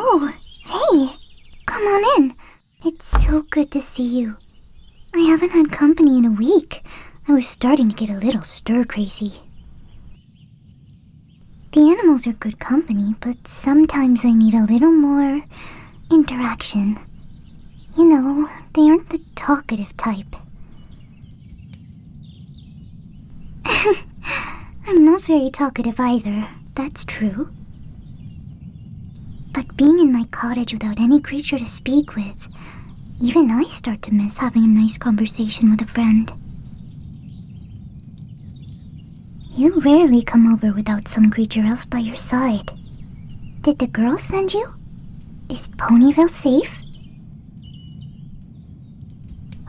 Oh, hey! Come on in. It's so good to see you. I haven't had company in a week. I was starting to get a little stir crazy. The animals are good company, but sometimes they need a little more interaction. You know, they aren't the talkative type. I'm not very talkative either, that's true. But being in my cottage without any creature to speak with, even I start to miss having a nice conversation with a friend. You rarely come over without some creature else by your side. Did the girl send you? Is Ponyville safe?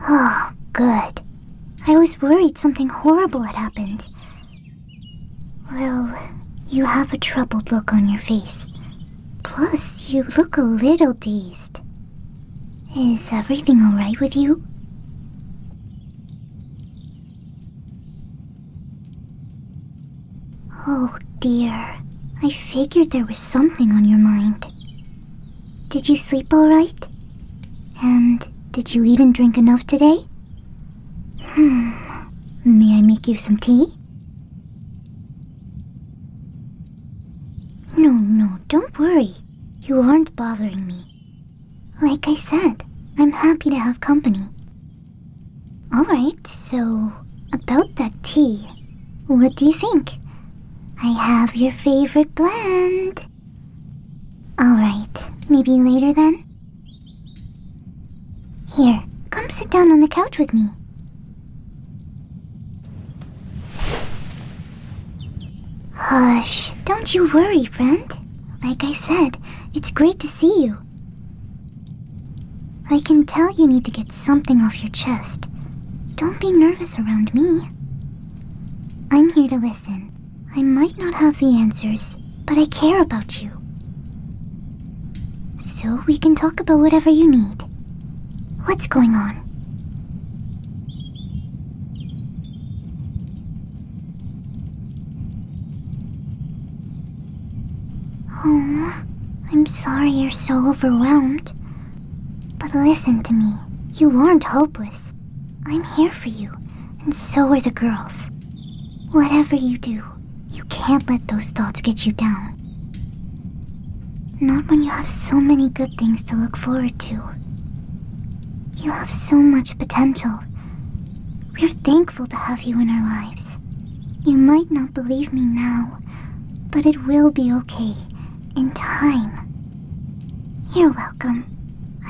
Oh, good. I was worried something horrible had happened. Well, you have a troubled look on your face. Plus, you look a little dazed. Is everything alright with you? Oh dear, I figured there was something on your mind. Did you sleep alright? And did you eat and drink enough today? Hmm, may I make you some tea? No, no, don't worry. You aren't bothering me. Like I said, I'm happy to have company. Alright, so about that tea, what do you think? I have your favorite blend. Alright, maybe later then? Here, come sit down on the couch with me. Hush, don't you worry, friend. Like I said, it's great to see you. I can tell you need to get something off your chest. Don't be nervous around me. I'm here to listen. I might not have the answers, but I care about you. So we can talk about whatever you need. What's going on? Oh, I'm sorry you're so overwhelmed. But listen to me. You aren't hopeless. I'm here for you, and so are the girls. Whatever you do, you can't let those thoughts get you down. Not when you have so many good things to look forward to. You have so much potential. We're thankful to have you in our lives. You might not believe me now, but it will be okay. In time. You're welcome.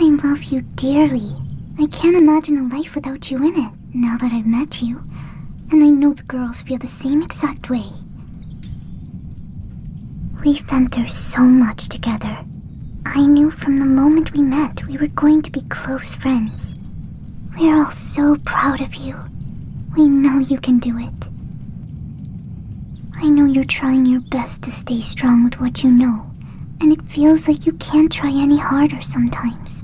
I love you dearly. I can't imagine a life without you in it, now that I've met you. And I know the girls feel the same exact way. We've been through so much together. I knew from the moment we met we were going to be close friends. We're all so proud of you. We know you can do it. I know you're trying your best to stay strong with what you know, and it feels like you can't try any harder sometimes.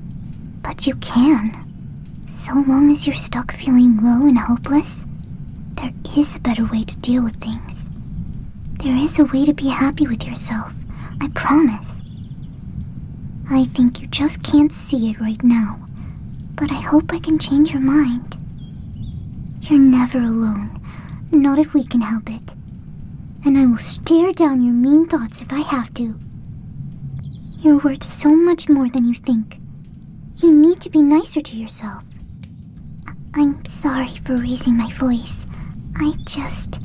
But you can. So long as you're stuck feeling low and hopeless, there is a better way to deal with things. There is a way to be happy with yourself, I promise. I think you just can't see it right now, but I hope I can change your mind. You're never alone, not if we can help it. And I will stare down your mean thoughts if I have to. You're worth so much more than you think. You need to be nicer to yourself. I'm sorry for raising my voice. I just.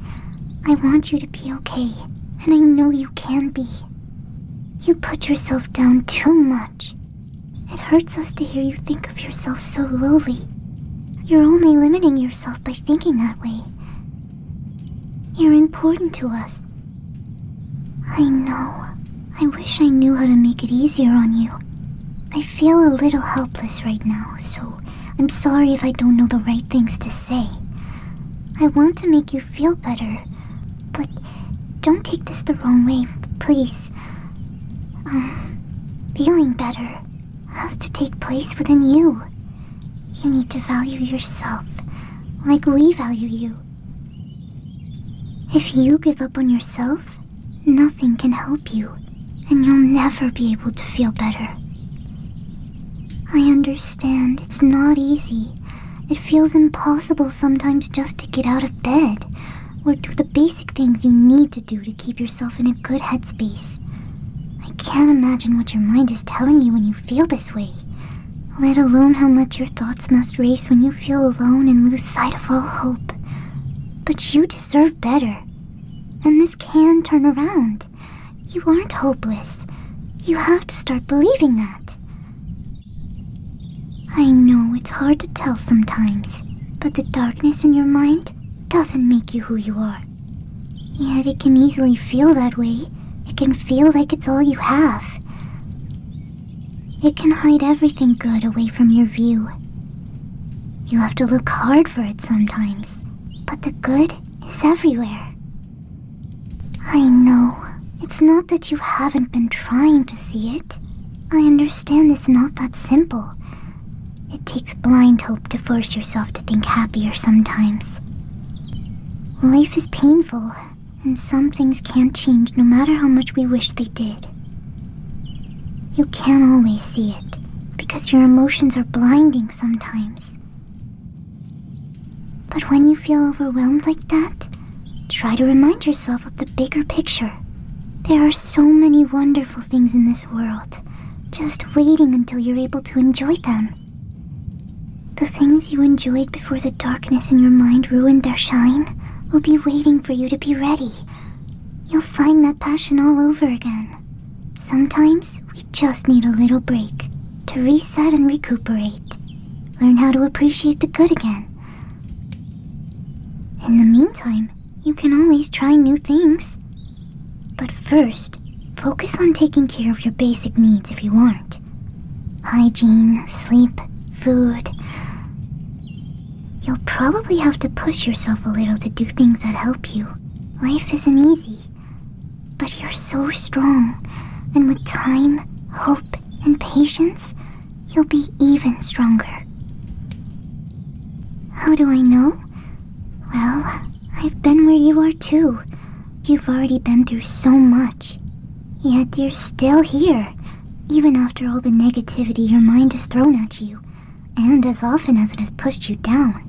I want you to be okay, and I know you can be. You put yourself down too much. It hurts us to hear you think of yourself so lowly. You're only limiting yourself by thinking that way. You're important to us. I know. I wish I knew how to make it easier on you. I feel a little helpless right now, so I'm sorry if I don't know the right things to say. I want to make you feel better, but don't take this the wrong way, please. feeling better has to take place within you. You need to value yourself like we value you. If you give up on yourself, nothing can help you, and you'll never be able to feel better. I understand it's not easy, it feels impossible sometimes just to get out of bed or do the basic things you need to do to keep yourself in a good headspace. I can't imagine what your mind is telling you when you feel this way, let alone how much your thoughts must race when you feel alone and lose sight of all hope. But you deserve better. And this can turn around. You aren't hopeless. You have to start believing that. I know it's hard to tell sometimes, but the darkness in your mind doesn't make you who you are. Yet it can easily feel that way. It can feel like it's all you have. It can hide everything good away from your view. You have to look hard for it sometimes, but the good is everywhere. I know. It's not that you haven't been trying to see it. I understand it's not that simple. It takes blind hope to force yourself to think happier sometimes. Life is painful, and some things can't change no matter how much we wish they did. You can't always see it, because your emotions are blinding sometimes. But when you feel overwhelmed like that, try to remind yourself of the bigger picture. There are so many wonderful things in this world, just waiting until you're able to enjoy them. The things you enjoyed before the darkness in your mind ruined their shine will be waiting for you to be ready. You'll find that passion all over again. Sometimes we just need a little break to reset and recuperate, learn how to appreciate the good again. In the meantime, you can always try new things. But first, focus on taking care of your basic needs if you want: hygiene, sleep, food. You'll probably have to push yourself a little to do things that help you. Life isn't easy, but you're so strong, and with time, hope, and patience, you'll be even stronger. How do I know? Well, I've been where you are too. You've already been through so much. Yet you're still here, even after all the negativity your mind has thrown at you, and as often as it has pushed you down.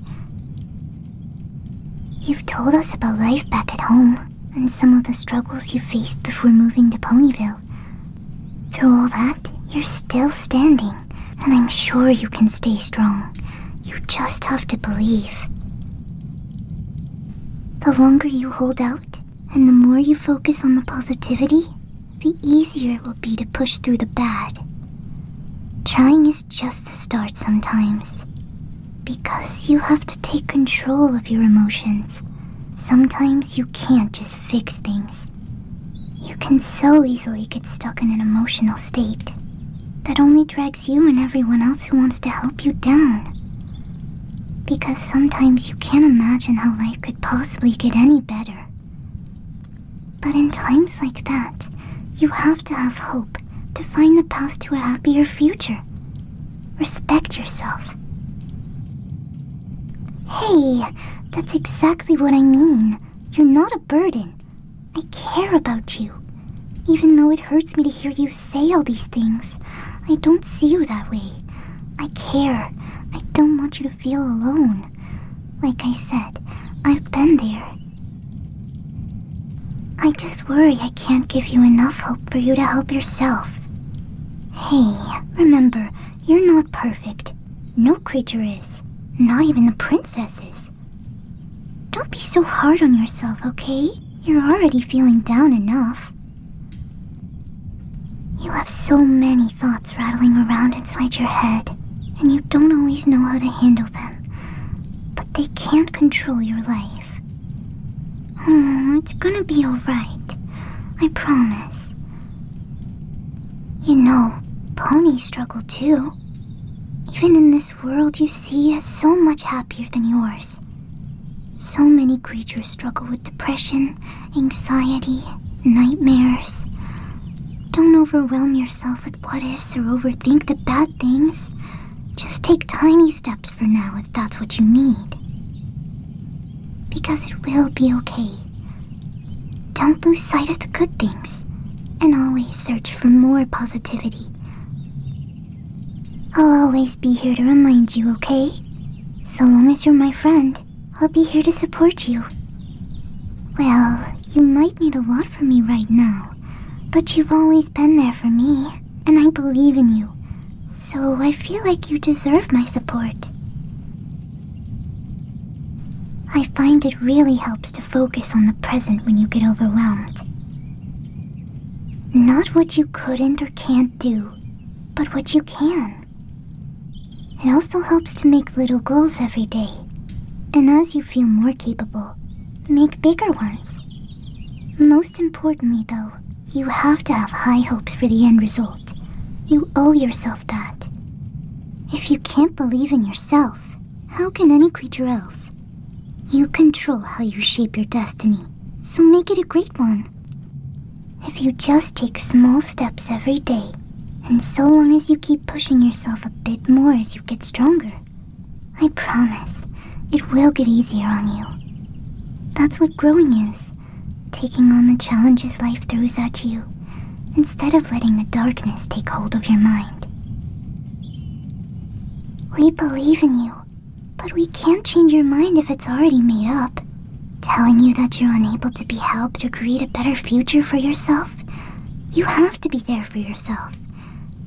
You've told us about life back at home, and some of the struggles you faced before moving to Ponyville. Through all that, you're still standing, and I'm sure you can stay strong. You just have to believe. The longer you hold out, and the more you focus on the positivity, the easier it will be to push through the bad. Trying is just the start sometimes. Because you have to take control of your emotions. Sometimes you can't just fix things. You can so easily get stuck in an emotional state that only drags you and everyone else who wants to help you down. Because sometimes you can't imagine how life could possibly get any better. But in times like that, you have to have hope to find the path to a happier future. Respect yourself. Hey, that's exactly what I mean. You're not a burden. I care about you. Even though it hurts me to hear you say all these things, I don't see you that way. I care. I don't want you to feel alone. Like I said, I've been there. I just worry I can't give you enough hope for you to help yourself. Hey, remember, you're not perfect. No creature is. Not even the princesses. Don't be so hard on yourself, okay? You're already feeling down enough. You have so many thoughts rattling around inside your head, and you don't always know how to handle them. But they can't control your life. Oh, it's gonna be alright. I promise. You know, ponies struggle too. Even in this world you see is so much happier than yours. So many creatures struggle with depression, anxiety, nightmares. Don't overwhelm yourself with what ifs or overthink the bad things. Just take tiny steps for now if that's what you need. Because it will be okay. Don't lose sight of the good things, and always search for more positivity. I'll always be here to remind you, okay? So long as you're my friend, I'll be here to support you. Well, you might need a lot from me right now, but you've always been there for me and I believe in you. So I feel like you deserve my support. I find it really helps to focus on the present when you get overwhelmed. Not what you couldn't or can't do, but what you can. It also helps to make little goals every day, and as you feel more capable, make bigger ones. Most importantly, though, you have to have high hopes for the end result. You owe yourself that. If you can't believe in yourself, how can any creature else? You control how you shape your destiny, so make it a great one. If you just take small steps every day, and so long as you keep pushing yourself a bit more as you get stronger, I promise, it will get easier on you. That's what growing is taking on the challenges life throws at you, instead of letting the darkness take hold of your mind. We believe in you, but we can't change your mind if it's already made up. Telling you that you're unable to be helped or create a better future for yourself, you have to be there for yourself.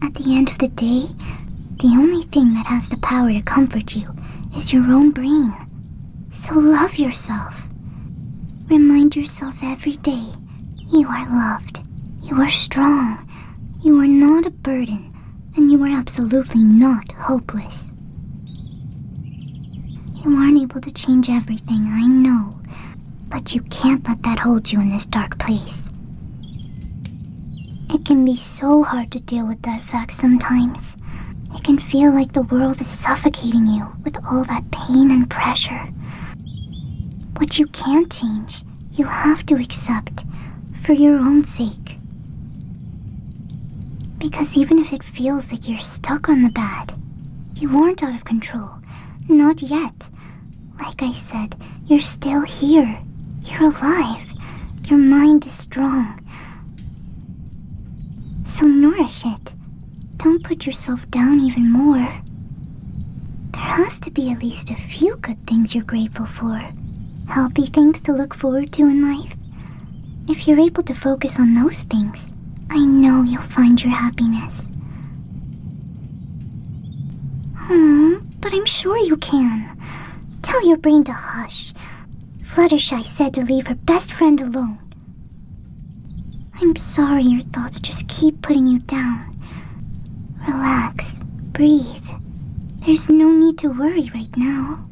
At the end of the day, the only thing that has the power to comfort you is your own brain. So love yourself. Remind yourself every day you are loved, you are strong, you are not a burden, and you are absolutely not hopeless. You aren't able to change everything, I know, but you can't let that hold you in this dark place. It can be so hard to deal with that fact sometimes. It can feel like the world is suffocating you with all that pain and pressure. What you can't change, you have to accept for your own sake. Because even if it feels like you're stuck on the bad, you aren't out of control. Not yet. Like I said, you're still here. You're alive. Your mind is strong. So nourish it. Don't put yourself down even more. There has to be at least a few good things you're grateful for, healthy things to look forward to in life. If you're able to focus on those things, I know you'll find your happiness. Hmm, but I'm sure you can. Tell your brain to hush. Fluttershy said to leave her best friend alone. I'm sorry your thoughts just keep putting you down. Relax, breathe. There's no need to worry right now.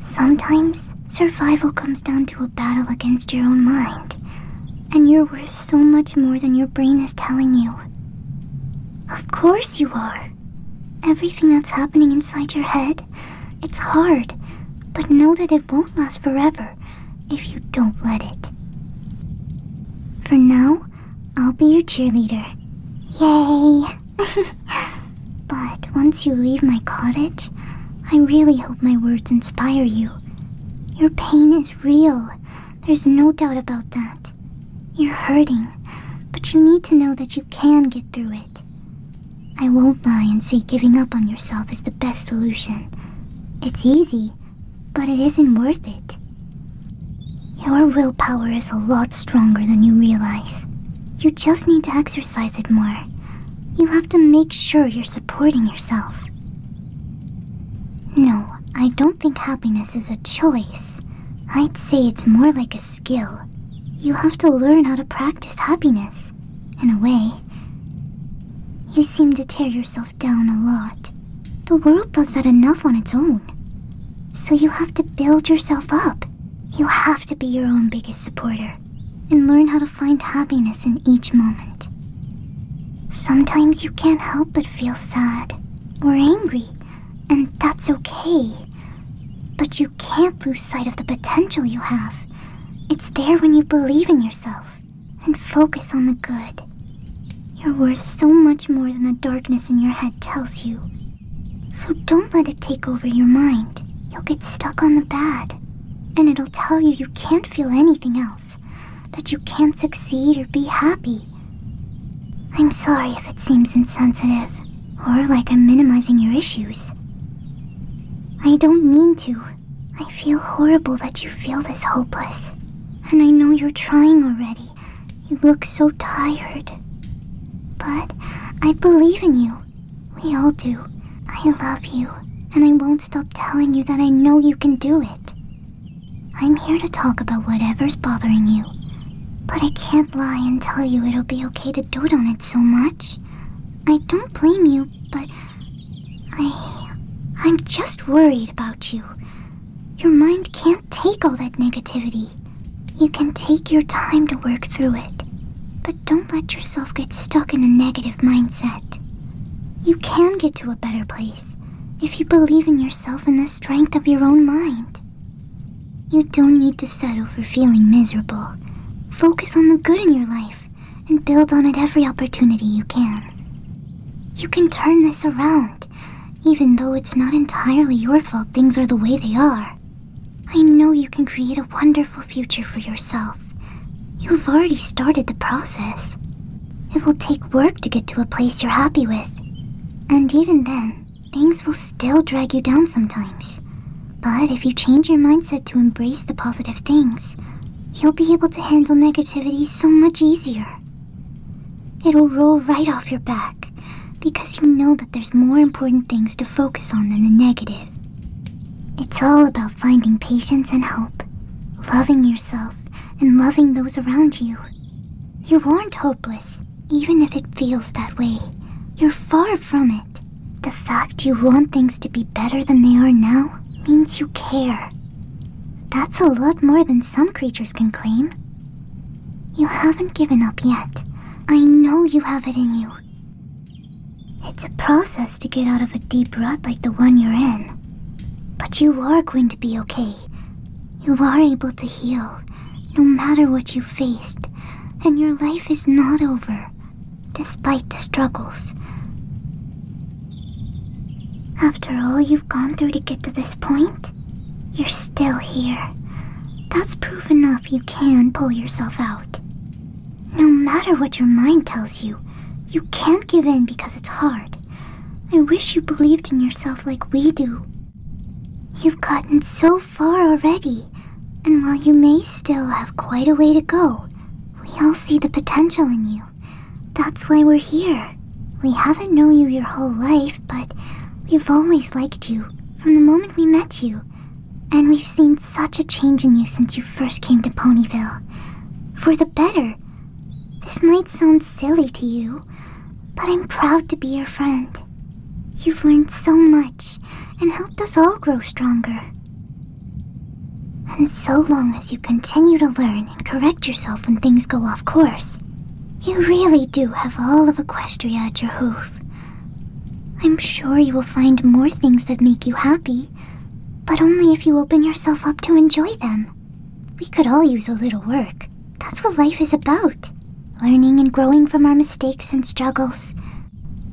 Sometimes survival comes down to a battle against your own mind, and you're worth so much more than your brain is telling you. Of course you are. Everything that's happening inside your head, it's hard. But know that it won't last forever if you don't let it. For now, I'll be your cheerleader. Yay! but once you leave my cottage, I really hope my words inspire you. Your pain is real. There's no doubt about that. You're hurting, but you need to know that you you can get through it. I won't lie and say giving up on yourself is the best solution. It's easy, but it isn't worth it. Your willpower is a lot stronger than you realize. You just need to exercise it more. You have to make sure you're supporting yourself. No, I don't think happiness is a choice. I'd say it's more like a skill. You have to learn how to practice happiness. In a way, you seem to tear yourself down a lot. The world does that enough on its own. So you have to build yourself up. You have to be your own biggest supporter and learn how to find happiness in each moment. Sometimes you can't help but feel sad or angry, and that's okay. But you can't lose sight of the potential you have. It's there when you believe in yourself and focus on the good. You're worth so much more than the darkness in your head tells you. So don't let it take over your mind. You'll get stuck on the bad. And it'll tell you you can't feel anything else, that you can't succeed or be happy. I'm sorry if it seems insensitive. Or like I'm minimizing your issues. I don't mean to. I feel horrible that you feel this hopeless. And I know you're trying already. You look so tired. But I believe in you. We all do. I love you. And I won't stop telling you that I know you can do it. I'm here to talk about whatever's bothering you. But I can't lie and tell you it'll be okay to dote on it so much. I don't blame you, but I. I'm just worried about you. Your mind can't take all that negativity. You can take your time to work through it, but don't let yourself get stuck in a negative mindset. You can get to a better place if you believe in yourself and the strength of your own mind. You don't need to settle for feeling miserable. Focus on the good in your life and build on it every opportunity you can. You can turn this around, even though it's not entirely your fault things are the way they are. I know you can create a wonderful future for yourself. You've already started the process. It will take work to get to a place you're happy with. And even then, things will still drag you down sometimes. But if you change your mindset to embrace the positive things, you'll be able to handle negativity so much easier. It'll roll right off your back because you know that there's more important things to focus on than the negative. It's all about finding patience and hope, loving yourself, and loving those around you. You aren't hopeless. Even if it feels that way, you're far from it. The fact you want things to be better than they are now means you care. That's a lot more than some creatures can claim. You haven't given up yet. I know you have it in you. It's a process to get out of a deep rut like the one you're in. But you are going to be okay. You are able to heal, no matter what you faced and your life is not over, despite the struggles. After all you've gone through to get to this point, you're still here. That's proof enough you can pull yourself out. No matter what your mind tells you, you can't give in because it's hard. I wish you believed in yourself like we do. You've gotten so far already, and while you may still have quite a way to go, we all see the potential in you. That's why we're here. We haven't known you your whole life, but we've always liked you from the moment we met you. And we've seen such a change in you since you first came to Ponyville. For the better. This might sound silly to you, but I'm proud to be your friend. You've learned so much and helped us all grow stronger. And so long as you continue to learn and correct yourself when things go off course, you really do have all of Equestria at your hoof. I'm sure you will find more things that make you happy, but only if you open yourself up to enjoy them. We could all use a little work. That's what life is about learning and growing from our mistakes and struggles.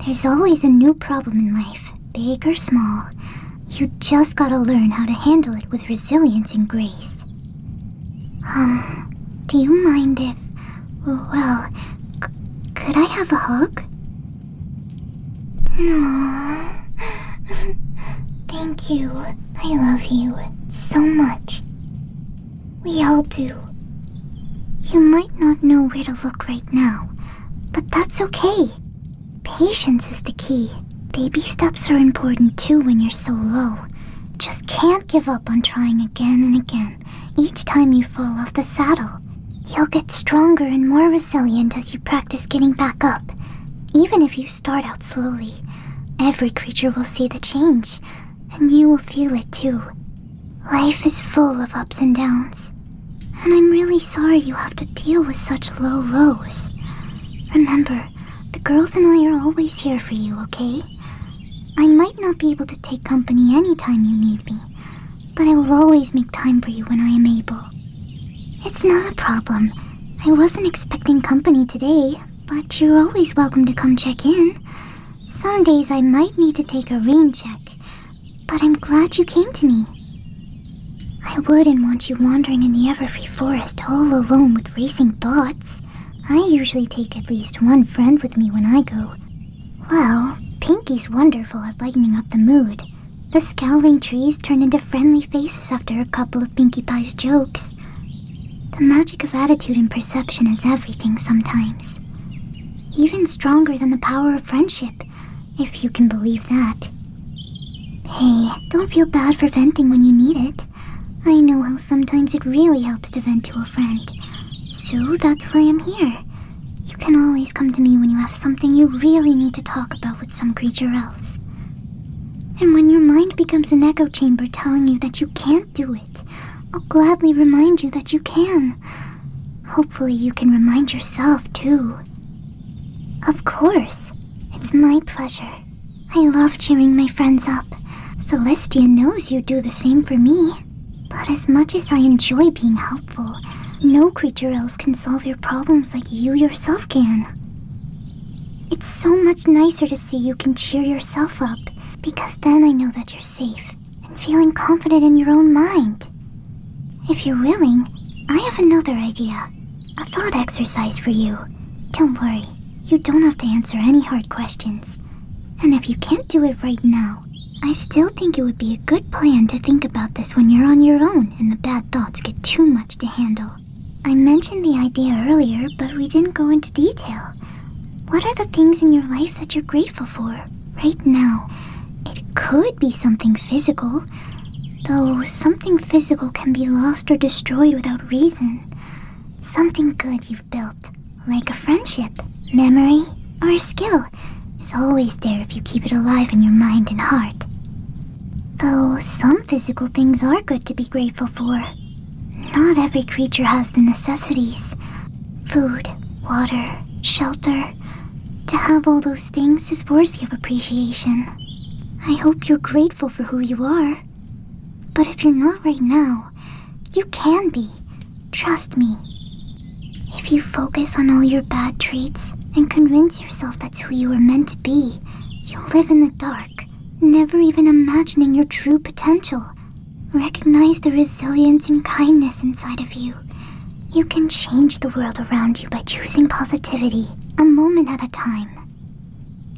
There's always a new problem in life, big or small. You just gotta learn how to handle it with resilience and grace. Um, do you mind if. Well, could I have a hug? No. Thank you. I love you so much. We all do. You might not know where to look right now, but that's okay. Patience is the key. Baby steps are important too when you're so low. Just can't give up on trying again and again, each time you fall off the saddle. You'll get stronger and more resilient as you practice getting back up. Even if you start out slowly, every creature will see the change, and you will feel it too. Life is full of ups and downs, and I'm really sorry you have to deal with such low lows. Remember, the girls and I are always here for you, okay? I might not be able to take company anytime you need me, but I will always make time for you when I am able. It's not a problem. I wasn't expecting company today, but you're always welcome to come check in. Some days I might need to take a rain check, but I'm glad you came to me. I wouldn't want you wandering in the everfree forest all alone with racing thoughts. I usually take at least one friend with me when I go. Well, Pinkie's wonderful at lightening up the mood. The scowling trees turn into friendly faces after a couple of Pinkie Pie's jokes. The magic of attitude and perception is everything sometimes. Even stronger than the power of friendship, if you can believe that. Hey, don't feel bad for venting when you need it. I know how sometimes it really helps to vent to a friend. So that's why I'm here. You can always come to me when you have something you really need to talk about with some creature else. And when your mind becomes an echo chamber telling you that you can't do it, I'll gladly remind you that you can. Hopefully, you can remind yourself, too. Of course. It's my pleasure. I love cheering my friends up. Celestia knows you do the same for me. But as much as I enjoy being helpful, no creature else can solve your problems like you yourself can. It's so much nicer to see you can cheer yourself up, because then I know that you're safe and feeling confident in your own mind. If you're willing, I have another idea. A thought exercise for you. Don't worry, you don't have to answer any hard questions. And if you can't do it right now, I still think it would be a good plan to think about this when you're on your own and the bad thoughts get too much to handle. I mentioned the idea earlier, but we didn't go into detail. What are the things in your life that you're grateful for? right now. It could be something physical, though something physical can be lost or destroyed without reason. Something good you've built, like a friendship, memory, or a skill, is always there if you keep it alive in your mind and heart. Though some physical things are good to be grateful for. Not every creature has the necessities. Food, water, shelter. To have all those things is worthy of appreciation. I hope you're grateful for who you are. But if you're not right now, you can be. Trust me. If you focus on all your bad traits and convince yourself that's who you were meant to be, you'll live in the dark, never even imagining your true potential Recognize the resilience and kindness inside of you. You can change the world around you by choosing positivity, a moment at a time.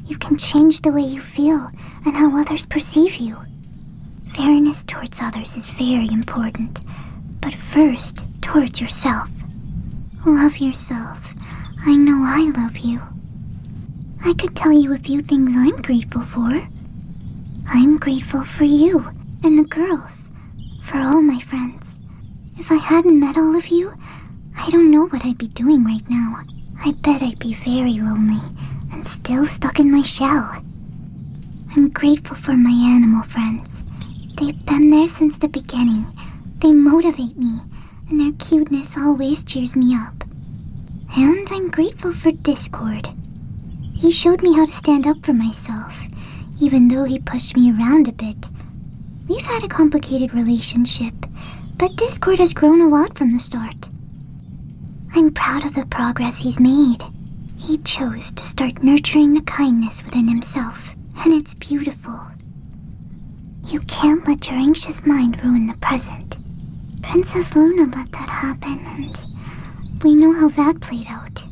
You can change the way you feel and how others perceive you. Fairness towards others is very important, but first, towards yourself. Love yourself. I know I love you. I could tell you a few things I'm grateful for. I'm grateful for you and the girls, for all my friends. If I hadn't met all of you, I don't know what I'd be doing right now. I bet I'd be very lonely and still stuck in my shell. I'm grateful for my animal friends. They've been there since the beginning. They motivate me, and their cuteness always cheers me up. And I'm grateful for Discord. He showed me how to stand up for myself, even though he pushed me around a bit. We've had a complicated relationship, but Discord has grown a lot from the start. I'm proud of the progress he's made. He chose to start nurturing the kindness within himself, and it's beautiful. You can't let your anxious mind ruin the present. Princess Luna let that happen, and we know how that played out.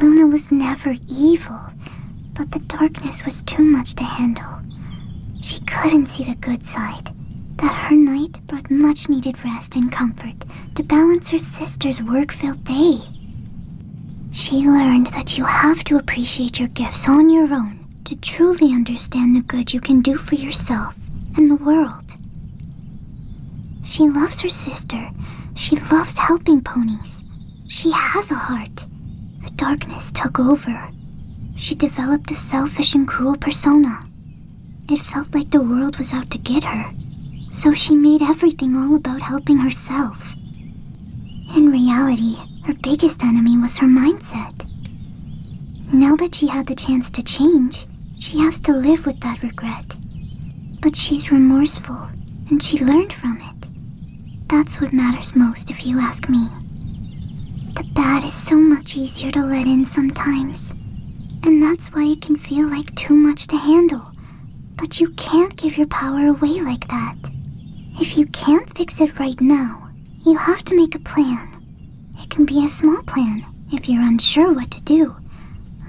Luna was never evil, but the darkness was too much to handle. She couldn't see the good side, that her night brought much needed rest and comfort to balance her sister's work filled day. She learned that you have to appreciate your gifts on your own to truly understand the good you can do for yourself and the world. She loves her sister. She loves helping ponies. She has a heart. The darkness took over. She developed a selfish and cruel persona. It felt like the world was out to get her, so she made everything all about helping herself. In reality, her biggest enemy was her mindset. Now that she had the chance to change, she has to live with that regret. But she's remorseful, and she learned from it. That's what matters most, if you ask me. The bad is so much easier to let in sometimes. And that's why it can feel like too much to handle. But you can't give your power away like that. If you can't fix it right now, you have to make a plan. It can be a small plan, if you're unsure what to do,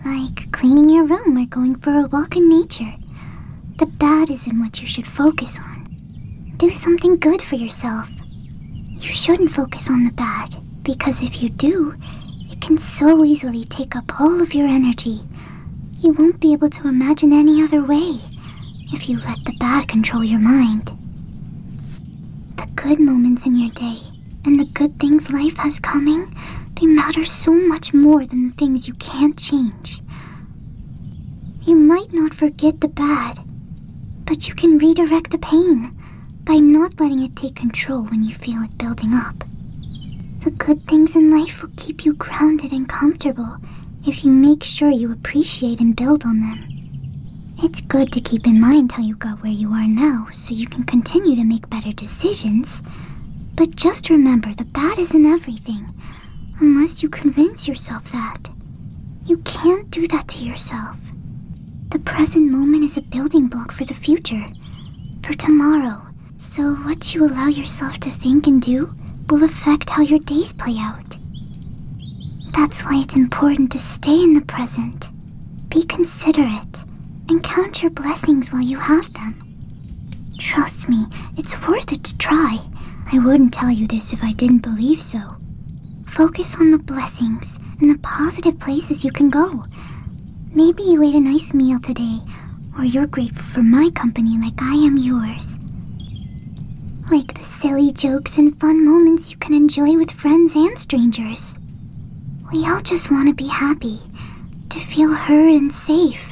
like cleaning your room or going for a walk in nature. The bad isn't what you should focus on. Do something good for yourself. You shouldn't focus on the bad, because if you do, it can so easily take up all of your energy. You won't be able to imagine any other way if you let the bad control your mind. The good moments in your day and the good things life has coming, they matter so much more than the things you can't change. You might not forget the bad, but you can redirect the pain by not letting it take control when you feel it building up. The good things in life will keep you grounded and comfortable if you make sure you appreciate and build on them. It's good to keep in mind how you got where you are now so you can continue to make better decisions. But just remember the bad isn't everything, unless you convince yourself that. You can't do that to yourself. The present moment is a building block for the future, for tomorrow. So, what you allow yourself to think and do will affect how your days play out. That's why it's important to stay in the present be considerate and count your blessings while you have them. Trust me, it's worth it to try. I wouldn't tell you this if I didn't believe so. Focus on the blessings and the positive places you can go. Maybe you ate a nice meal today, or you're grateful for my company like I am yours. Like the silly jokes and fun moments you can enjoy with friends and strangers. We all just want to be happy to feel heard and safe.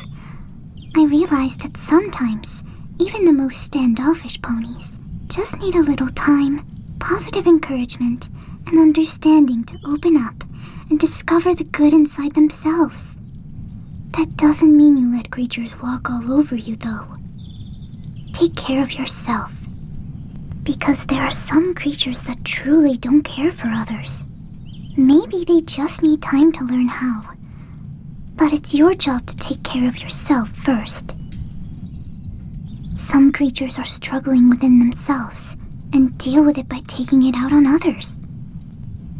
I realized that sometimes, even the most standoffish ponies just need a little time, positive encouragement, and understanding to open up and discover the good inside themselves. That doesn't mean you let creatures walk all over you, though. Take care of yourself. Because there are some creatures that truly don't care for others. Maybe they just need time to learn how. But it's your job to take care of yourself first. Some creatures are struggling within themselves and deal with it by taking it out on others.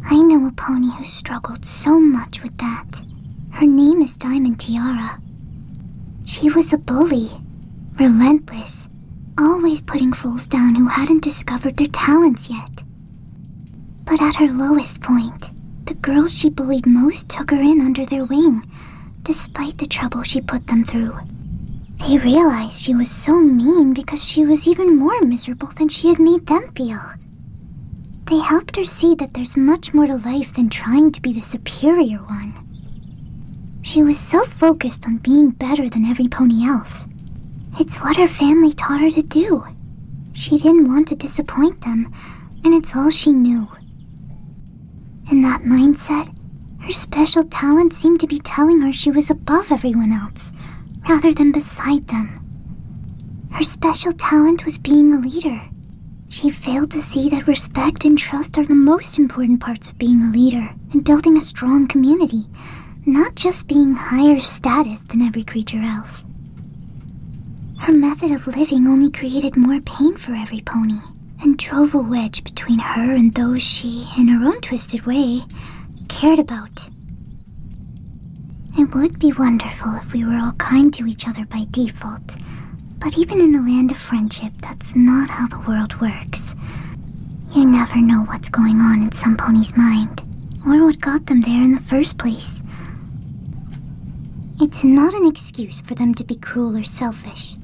I know a pony who struggled so much with that. Her name is Diamond Tiara. She was a bully, relentless, Always putting fools down who hadn't discovered their talents yet. But at her lowest point, the girls she bullied most took her in under their wing, despite the trouble she put them through. They realized she was so mean because she was even more miserable than she had made them feel. They helped her see that there's much more to life than trying to be the superior one. She was so focused on being better than every pony else. It's what her family taught her to do. She didn't want to disappoint them, and it's all she knew. In that mindset, her special talent seemed to be telling her she was above everyone else, rather than beside them. Her special talent was being a leader. She failed to see that respect and trust are the most important parts of being a leader and building a strong community, not just being higher status than every creature else. Her method of living only created more pain for every pony and drove a wedge between her and those she, in her own twisted way, cared about. It would be wonderful if we were all kind to each other by default, but even in the land of friendship, that's not how the world works. You never know what's going on in some pony's mind, or what got them there in the first place. It's not an excuse for them to be cruel or selfish,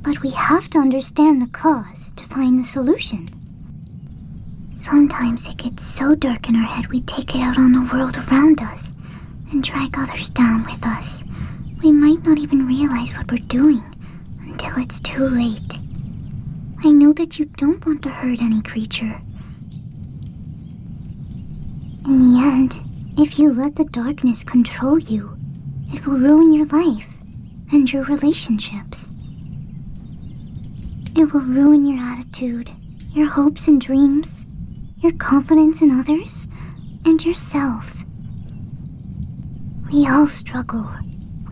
but we have to understand the cause to find the solution. Sometimes it gets so dark in our head we take it out on the world around us and drag others down with us. We might not even realize what we're doing until it's too late. I know that you don't want to hurt any creature. In the end, if you let the darkness control you, it will ruin your life and your relationships. It will ruin your attitude, your hopes and dreams, your confidence in others, and yourself. We all struggle,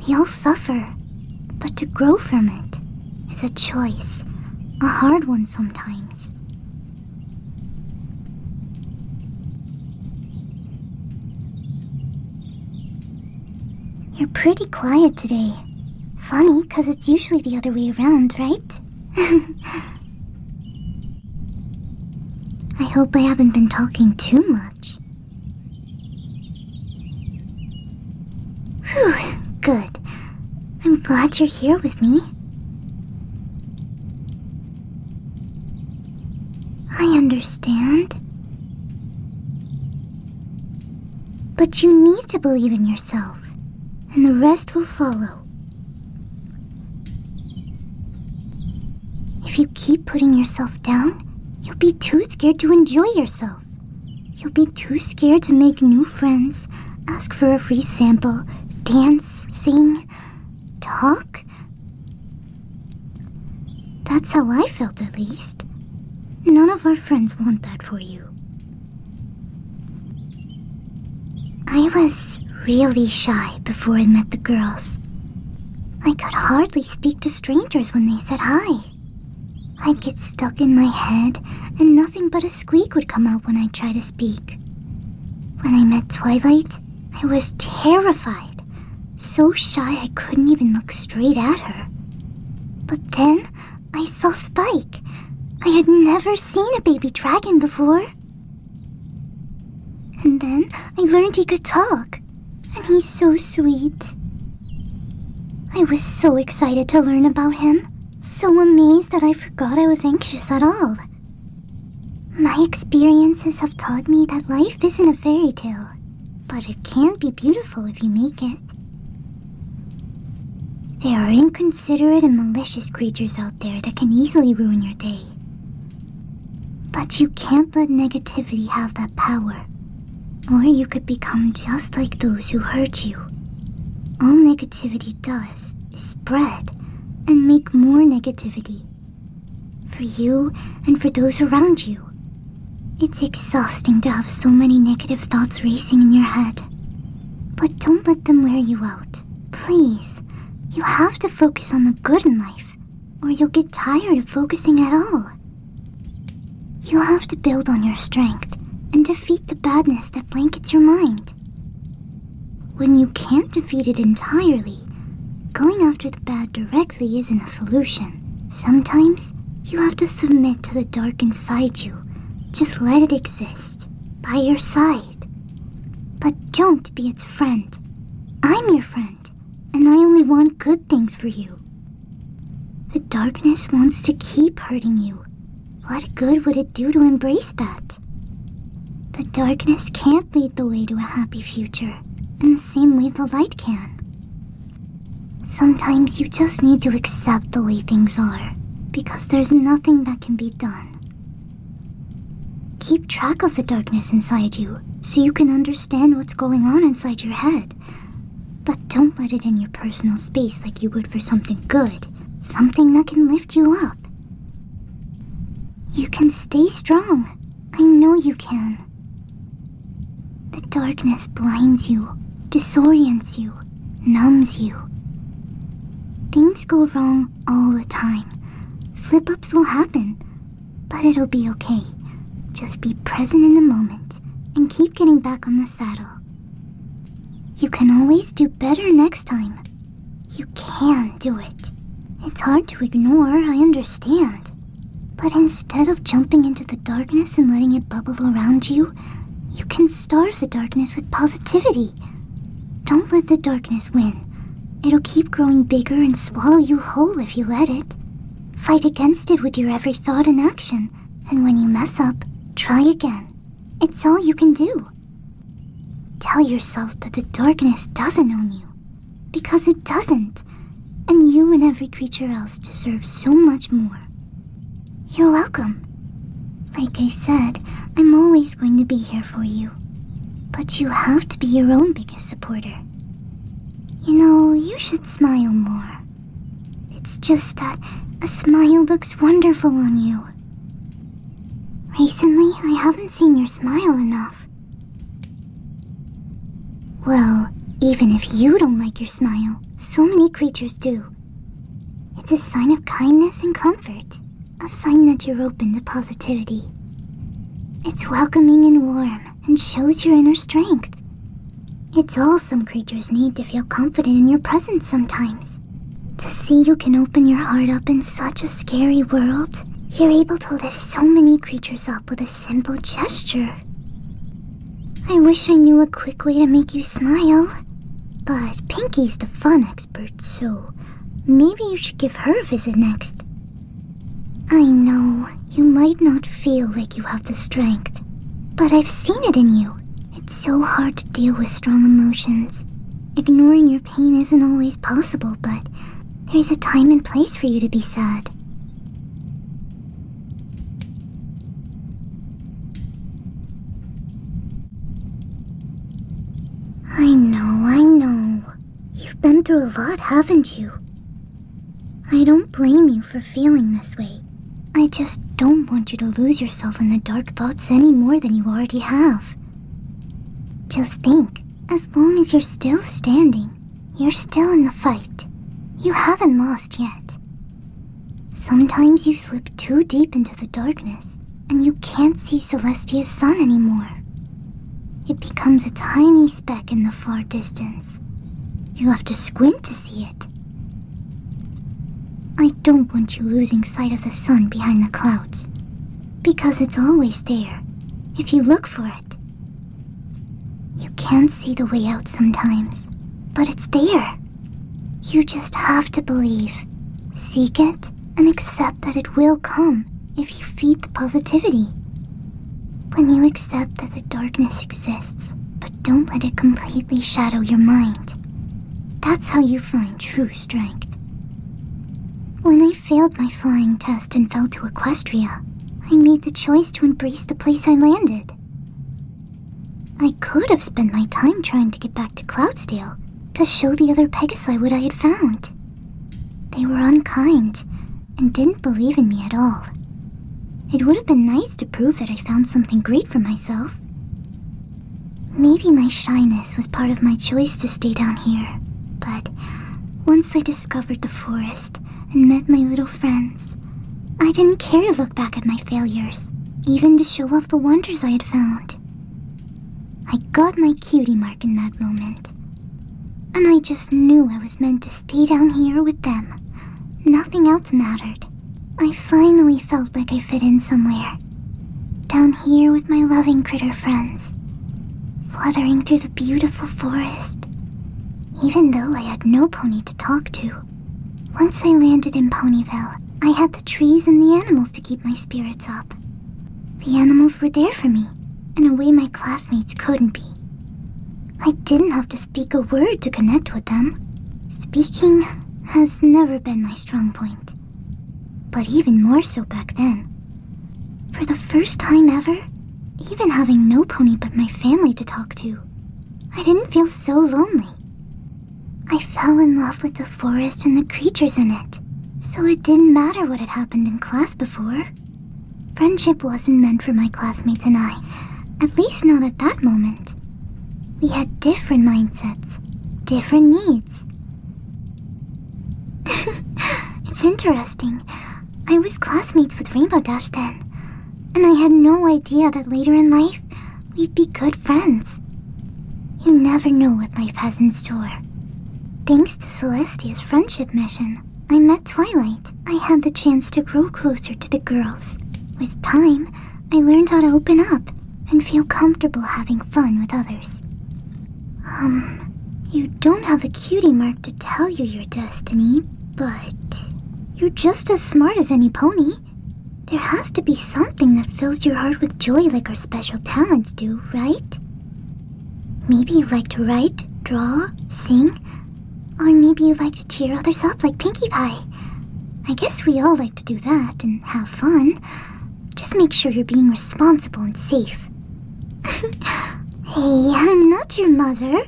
we all suffer, but to grow from it is a choice, a hard one sometimes. You're pretty quiet today. Funny, because it's usually the other way around, right? I hope I haven't been talking too much. Whew, good. I'm glad you're here with me. I understand. But you need to believe in yourself, and the rest will follow. If you keep putting yourself down, you'll be too scared to enjoy yourself. You'll be too scared to make new friends, ask for a free sample, dance, sing, talk. That's how I felt, at least. None of our friends want that for you. I was really shy before I met the girls. I could hardly speak to strangers when they said hi. I'd get stuck in my head, and nothing but a squeak would come out when I tried to speak. When I met Twilight, I was terrified, so shy I couldn't even look straight at her. But then I saw Spike. I had never seen a baby dragon before. And then I learned he could talk. And he's so sweet. I was so excited to learn about him, so amazed that I forgot I was anxious at all. My experiences have taught me that life isn't a fairy tale, but it can be beautiful if you make it. There are inconsiderate and malicious creatures out there that can easily ruin your day. But you can't let negativity have that power. Or you could become just like those who hurt you. All negativity does is spread and make more negativity for you and for those around you. It's exhausting to have so many negative thoughts racing in your head. But don't let them wear you out. Please, you have to focus on the good in life or you'll get tired of focusing at all. You'll have to build on your strength and defeat the badness that blankets your mind. When you can't defeat it entirely, going after the bad directly isn't a solution. Sometimes, you have to submit to the dark inside you. Just let it exist, by your side. But don't be its friend. I'm your friend and I only want good things for you. The darkness wants to keep hurting you. What good would it do to embrace that? The darkness can't lead the way to a happy future, in the same way the light can. Sometimes you just need to accept the way things are, because there's nothing that can be done. Keep track of the darkness inside you, so you can understand what's going on inside your head. But don't let it in your personal space like you would for something good, something that can lift you up. You can stay strong. I know you can. The darkness blinds you, disorients you, numbs you. Things go wrong all the time. Slip ups will happen, but it'll be okay. Just be present in the moment and keep getting back on the saddle. You can always do better next time. You can do it. It's hard to ignore, I understand. But instead of jumping into the darkness and letting it bubble around you, you can starve the darkness with positivity. Don't let the darkness win. It'll keep growing bigger and swallow you whole if you let it. Fight against it with your every thought and action, and when you mess up, try again. It's all you can do. Tell yourself that the darkness doesn't own you, because it doesn't, and you and every creature else deserve so much more. You're welcome. Like I said, I'm always going to be here for you, but you have to be your own biggest supporter. You know, you should smile more. It's just that a smile looks wonderful on you. Recently, I haven't seen your smile enough. Well, even if you don't like your smile, so many creatures do. It's a sign of kindness and comfort, a sign that you're open to positivity. It's welcoming and warm, and shows your inner strength. It's all some creatures need to feel confident in your presence sometimes. To see you can open your heart up in such a scary world, you're able to lift so many creatures up with a simple gesture. I wish I knew a quick way to make you smile. But Pinky's the fun expert, so maybe you should give her a visit next. I know you might not feel like you have the strength, but I've seen it in you. It's so hard to deal with strong emotions. Ignoring your pain isn't always possible, but there's a time and place for you to be sad. I know, I know. You've been through a lot, haven't you? I don't blame you for feeling this way. I just don't want you to lose yourself in the dark thoughts any more than you already have. Just think, as long as you're still standing, you're still in the fight. You haven't lost yet. Sometimes you slip too deep into the darkness, and you can't see Celestia's sun anymore. It becomes a tiny speck in the far distance. You have to squint to see it. I don't want you losing sight of the sun behind the clouds, because it's always there if you look for it. You can't see the way out sometimes, but it's there. You just have to believe, seek it, and accept that it will come if you feed the positivity. When you accept that the darkness exists, but don't let it completely shadow your mind, that's how you find true strength. When I failed my flying test and fell to Equestria, I made the choice to embrace the place I landed. I could have spent my time trying to get back to Cloudsdale to show the other Pegasi what I had found. They were unkind and didn't believe in me at all. It would have been nice to prove that I found something great for myself. Maybe my shyness was part of my choice to stay down here, but once I discovered the forest and met my little friends, I didn't care to look back at my failures, even to show off the wonders I had found. I got my cutie mark in that moment, and I just knew I was meant to stay down here with them Nothing else mattered. I finally felt like I fit in somewhere. Down here with my loving critter friends. Fluttering through the beautiful forest. Even though I had no pony to talk to. Once I landed in Ponyville, I had the trees and the animals to keep my spirits up. The animals were there for me, in a way my classmates couldn't be. I didn't have to speak a word to connect with them. Speaking has never been my strong point, but even more so back then. For the first time ever, even having no pony but my family to talk to, I didn't feel so lonely. I fell in love with the forest and the creatures in it, so it didn't matter what had happened in class before. Friendship wasn't meant for my classmates and I, at least not at that moment. We had different mindsets, different needs. it's interesting. I was classmates with Rainbow Dash then, and I had no idea that later in life we'd be good friends. You never know what life has in store. Thanks to Celestia's friendship mission, I met Twilight. I had the chance to grow closer to the girls. With time, I learned how to open up and feel comfortable having fun with others. Um, you don't have a cutie mark to tell you your destiny, but you're just as smart as any pony. There has to be something that fills your heart with joy like our special talents do, right? Maybe you like to write, draw, sing, or maybe you like to cheer others up like Pinkie Pie. I guess we all like to do that and have fun. Just make sure you're being responsible and safe. hey, I'm not your mother,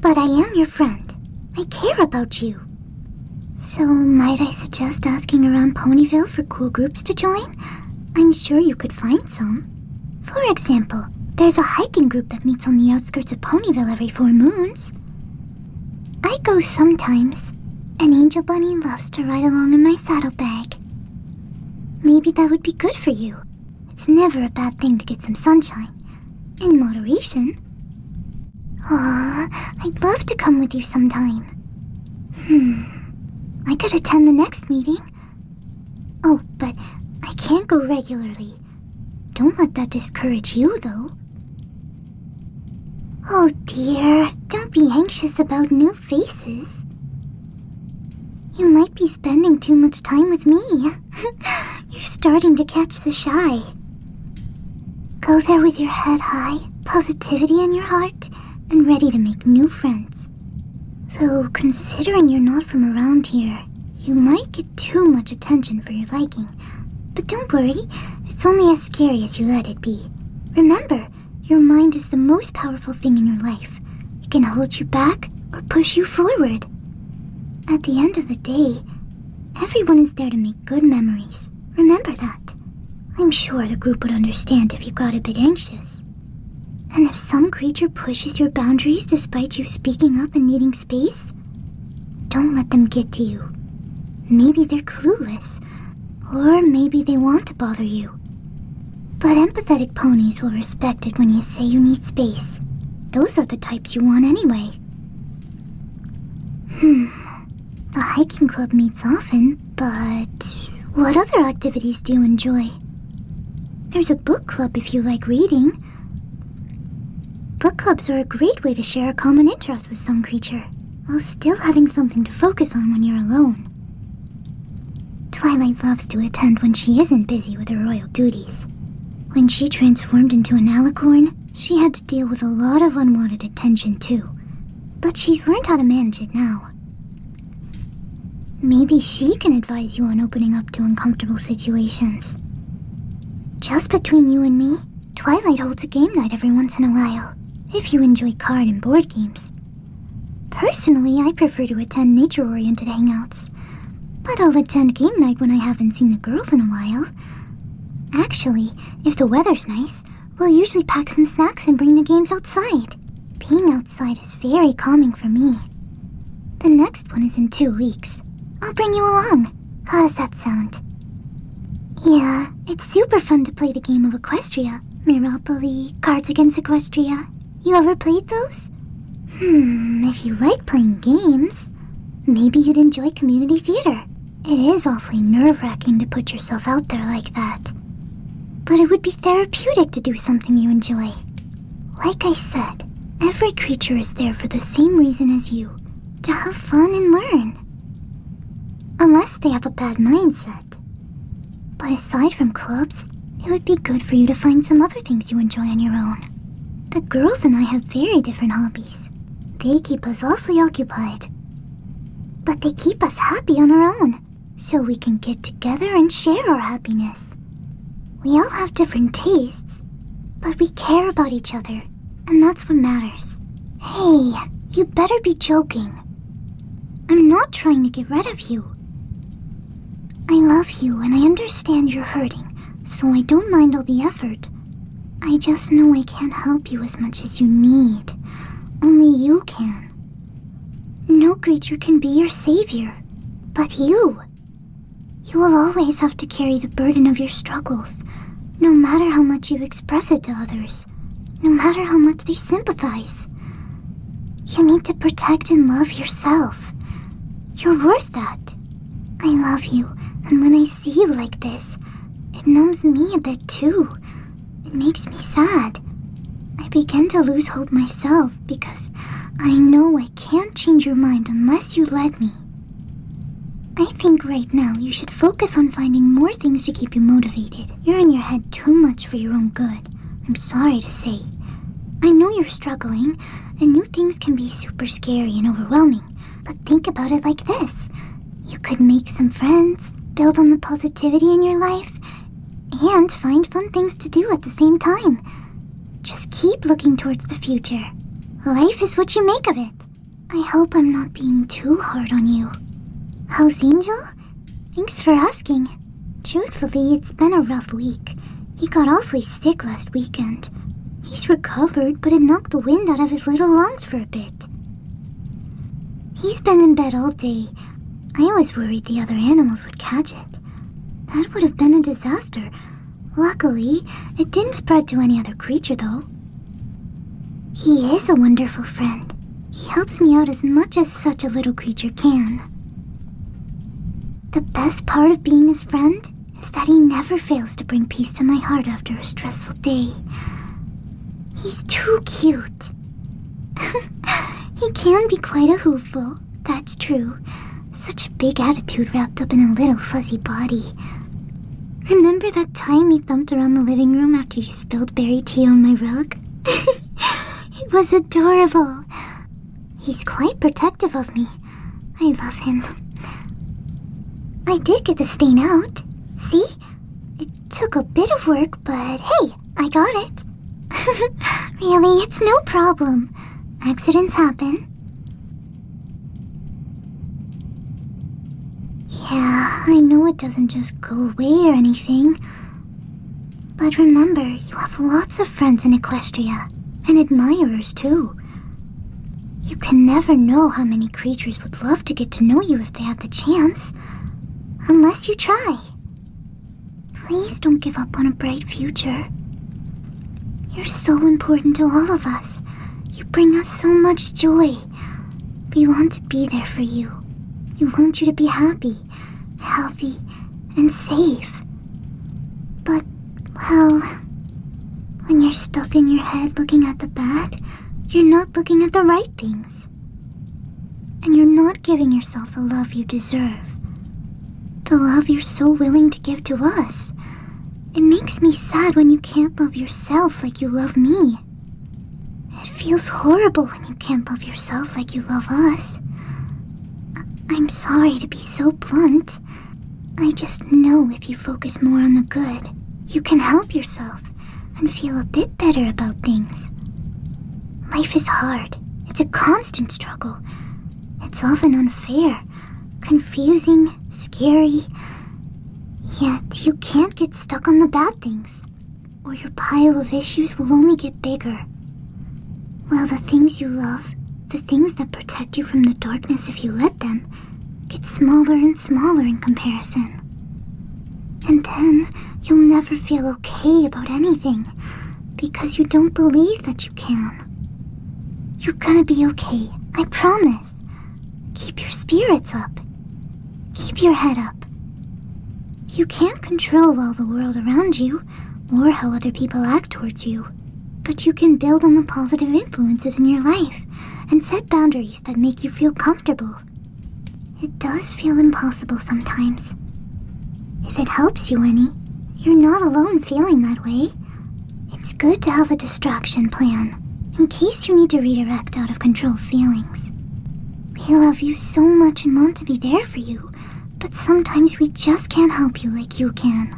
but I am your friend. I care about you. So, might I suggest asking around Ponyville for cool groups to join? I'm sure you could find some. For example, there's a hiking group that meets on the outskirts of Ponyville every full moon. I go sometimes. An angel bunny loves to ride along in my saddlebag. Maybe that would be good for you. It's never a bad thing to get some sunshine. In moderation. Aw, I'd love to come with you sometime. Hmm. I could attend the next meeting. Oh, but I can't go regularly. Don't let that discourage you, though. Oh dear, don't be anxious about new faces. You might be spending too much time with me. You're starting to catch the shy. Go there with your head high, positivity in your heart, and ready to make new friends. Though, considering you're not from around here, you might get too much attention for your liking. But don't worry, it's only as scary as you let it be. Remember, your mind is the most powerful thing in your life. It can hold you back or push you forward. At the end of the day, everyone is there to make good memories. Remember that. I'm sure the group would understand if you got a bit anxious. And if some creature pushes your boundaries despite you speaking up and needing space? Don't let them get to you. Maybe they're clueless, or maybe they want to bother you. But empathetic ponies will respect it when you say you need space. Those are the types you want anyway. Hmm. The hiking club meets often, but what other activities do you enjoy? There's a book club if you like reading. Book clubs are a great way to share a common interest with some creature, while still having something to focus on when you're alone. Twilight loves to attend when she isn't busy with her royal duties. When she transformed into an alicorn, she had to deal with a lot of unwanted attention too. But she's learned how to manage it now. Maybe she can advise you on opening up to uncomfortable situations. Just between you and me, Twilight holds a game night every once in a while, if you enjoy card and board games. Personally, I prefer to attend nature oriented hangouts, but I'll attend game night when I haven't seen the girls in a while. Actually, if the weather's nice, we'll usually pack some snacks and bring the games outside. Being outside is very calming for me. The next one is in two weeks. I'll bring you along. How does that sound? Yeah, it's super fun to play the game of Equestria. Miropoly, Cards Against Equestria. You ever played those? Hmm, if you like playing games, maybe you'd enjoy community theater. It is awfully nerve wracking to put yourself out there like that. But it would be therapeutic to do something you enjoy. Like I said, every creature is there for the same reason as you to have fun and learn. Unless they have a bad mindset. But aside from clubs, it would be good for you to find some other things you enjoy on your own. The girls and I have very different hobbies. They keep us awfully occupied. But they keep us happy on our own, so we can get together and share our happiness. We all have different tastes, but we care about each other and that's what matters. Hey, you better be joking. I'm not trying to get rid of you. I love you and I understand you're hurting, so I don't mind all the effort. I just know I can't help you as much as you need. Only you can. No creature can be your savior, but you. You will always have to carry the burden of your struggles, no matter how much you express it to others, no matter how much they sympathize. You need to protect and love yourself. You're worth that. I love you, and when I see you like this, it numbs me a bit too. It makes me sad. I begin to lose hope myself because I know I can't change your mind unless you let me. I think right now you should focus on finding more things to keep you motivated. You're in your head too much for your own good. I'm sorry to say. I know you're struggling, and new things can be super scary and overwhelming. But think about it like this you could make some friends, build on the positivity in your life, and find fun things to do at the same time. Just keep looking towards the future. Life is what you make of it. I hope I'm not being too hard on you. How's Angel? Thanks for asking. Truthfully, it's been a rough week. He got awfully sick last weekend. He's recovered, but it knocked the wind out of his little lungs for a bit. He's been in bed all day. I was worried the other animals would catch it. That would have been a disaster. Luckily, it didn't spread to any other creature, though. He is a wonderful friend. He helps me out as much as such a little creature can. The best part of being his friend is that he never fails to bring peace to my heart after a stressful day. He's too cute. he can be quite a hoofful, that's true. Such a big attitude wrapped up in a little fuzzy body. Remember that time he thumped around the living room after you spilled berry tea on my rug? it was adorable. He's quite protective of me. I love him. I did get the stain out. See? It took a bit of work, but hey, I got it. really, it's no problem. Accidents happen. Yeah, I know it doesn't just go away or anything. But remember, you have lots of friends in Equestria, and admirers too. You can never know how many creatures would love to get to know you if they had the chance. Unless you try. Please don't give up on a bright future. You're so important to all of us. You bring us so much joy. We want to be there for you. We want you to be happy, healthy, and safe. But, well, when you're stuck in your head looking at the bad, you're not looking at the right things. And you're not giving yourself the love you deserve. The love you're so willing to give to us. It makes me sad when you can't love yourself like you love me. It feels horrible when you can't love yourself like you love us. I am sorry to be so blunt. I just know if you focus more on the good, you can help yourself and feel a bit better about things. Life is hard. It's a constant struggle. It's often unfair confusing, scary. Yet you can't get stuck on the bad things, or your pile of issues will only get bigger. While the things you love, the things that protect you from the darkness if you let them, get smaller and smaller in comparison. And then you'll never feel okay about anything because you don't believe that you can. You're gonna be okay, I promise. Keep your spirits up. Keep your head up. You can't control all the world around you or how other people act towards you, but you can build on the positive influences in your life and set boundaries that make you feel comfortable. It does feel impossible sometimes. If it helps you any, you're not alone feeling that way it's good to have a distraction plan, in case you need to redirect out of control feelings. We love you so much and want to be there for you, but sometimes we just can't help you like you can.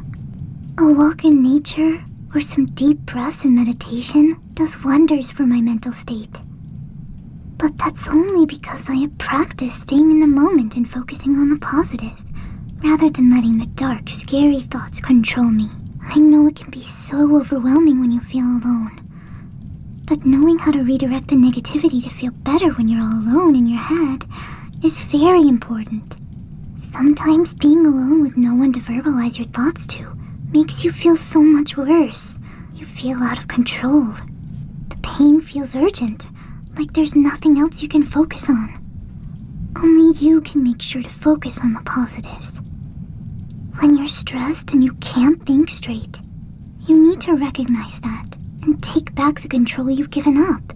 A walk in nature or some deep breaths and meditation does wonders for my mental state. But that's only because I have practiced staying in the moment and focusing on the positive, rather than letting the dark, scary thoughts control me. I know it can be so overwhelming when you feel alone. But knowing how to redirect the negativity to feel better when you're all alone in your head is very important. Sometimes being alone with no one to verbalize your thoughts to makes you feel so much worse. You feel out of control. The pain feels urgent, like there's nothing else you can focus on. Only you can make sure to focus on the positives. When you're stressed and you can't think straight, you need to recognize that and take back the control you've given up.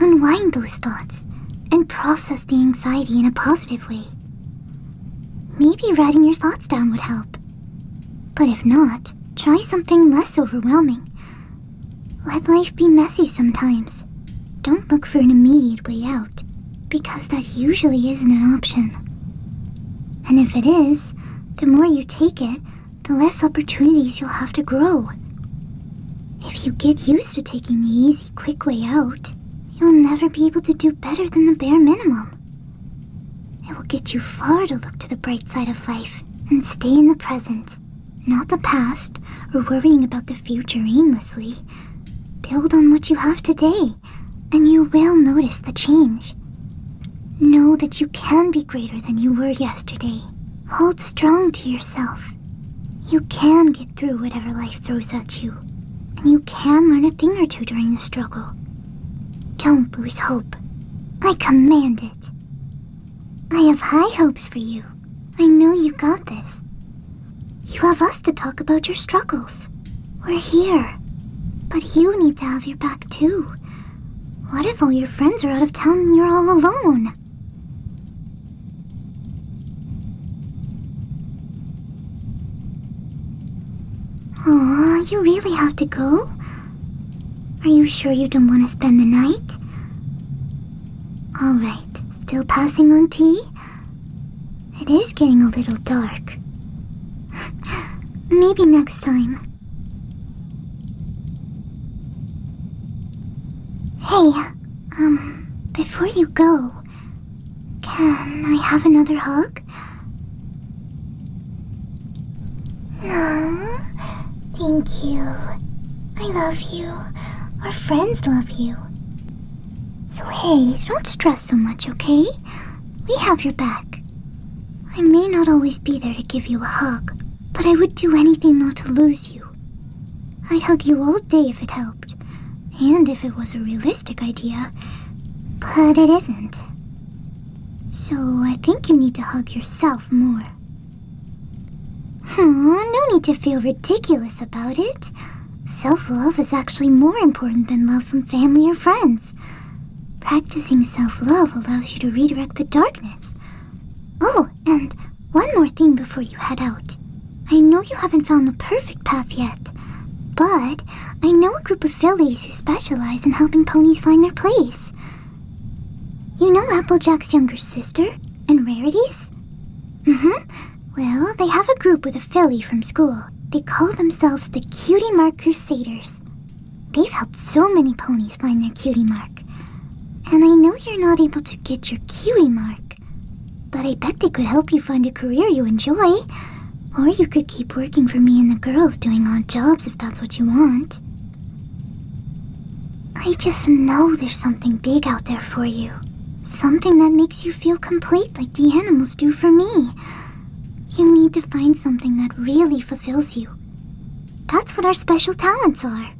Unwind those thoughts and process the anxiety in a positive way. Maybe writing your thoughts down would help. But if not, try something less overwhelming. Let life be messy sometimes don't look for an immediate way out, because that usually isn't an option. And if it is, the more you take it, the less opportunities you'll have to grow. If you get used to taking the easy, quick way out, you'll never be able to do better than the bare minimum. It will get you far to look to the bright side of life and stay in the present, not the past or worrying about the future aimlessly. Build on what you have today, and you will notice the change. Know that you can be greater than you were yesterday. Hold strong to yourself. You can get through whatever life throws at you, and you can learn a thing or two during the struggle. Don't lose hope. I command it. I have high hopes for you. I know you got this. You have us to talk about your struggles. We're here. But you need to have your back too. What if all your friends are out of town and you're all alone? Aw, you really have to go? Are you sure you don't want to spend the night? Alright, still passing on tea? It is getting a little dark. Maybe next time. Hey, um, before you go, can I have another hug? No, thank you. I love you. Our friends love you. So hey, don't stress so much, okay? We have your back. I may not always be there to give you a hug, but I would do anything not to lose you. I'd hug you all day if it helped, and if it was a realistic idea, but it isn't. So I think you need to hug yourself more. Aw, no need to feel ridiculous about it. Self love is actually more important than love from family or friends. Practicing self love allows you to redirect the darkness. Oh, and one more thing before you head out. I know you haven't found the perfect path yet, but I know a group of fillies who specialize in helping ponies find their place. You know Applejack's younger sister and Rarities? Mm hmm. Well, they have a group with a filly from school. They call themselves the Cutie Mark Crusaders. They've helped so many ponies find their cutie mark. And I know you're not able to get your cutie mark, but I bet they could help you find a career you enjoy. Or you could keep working for me and the girls doing odd jobs if that's what you want. I just know there's something big out there for you. Something that makes makes you feel complete like the animals do for me. You need to find something that really fulfills you. That's what our special talents are.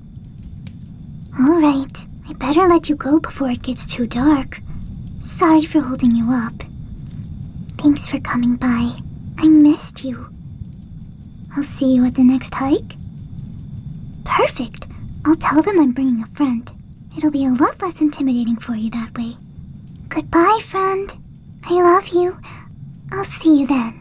Alright, I better let you go before it gets too dark. Sorry for holding you up. Thanks for coming by. I missed you. I'll see you at the next hike. Perfect! I'll tell them I'm bringing a friend. It'll be a lot less intimidating for you that way. Goodbye, friend. I love you. I'll see you then.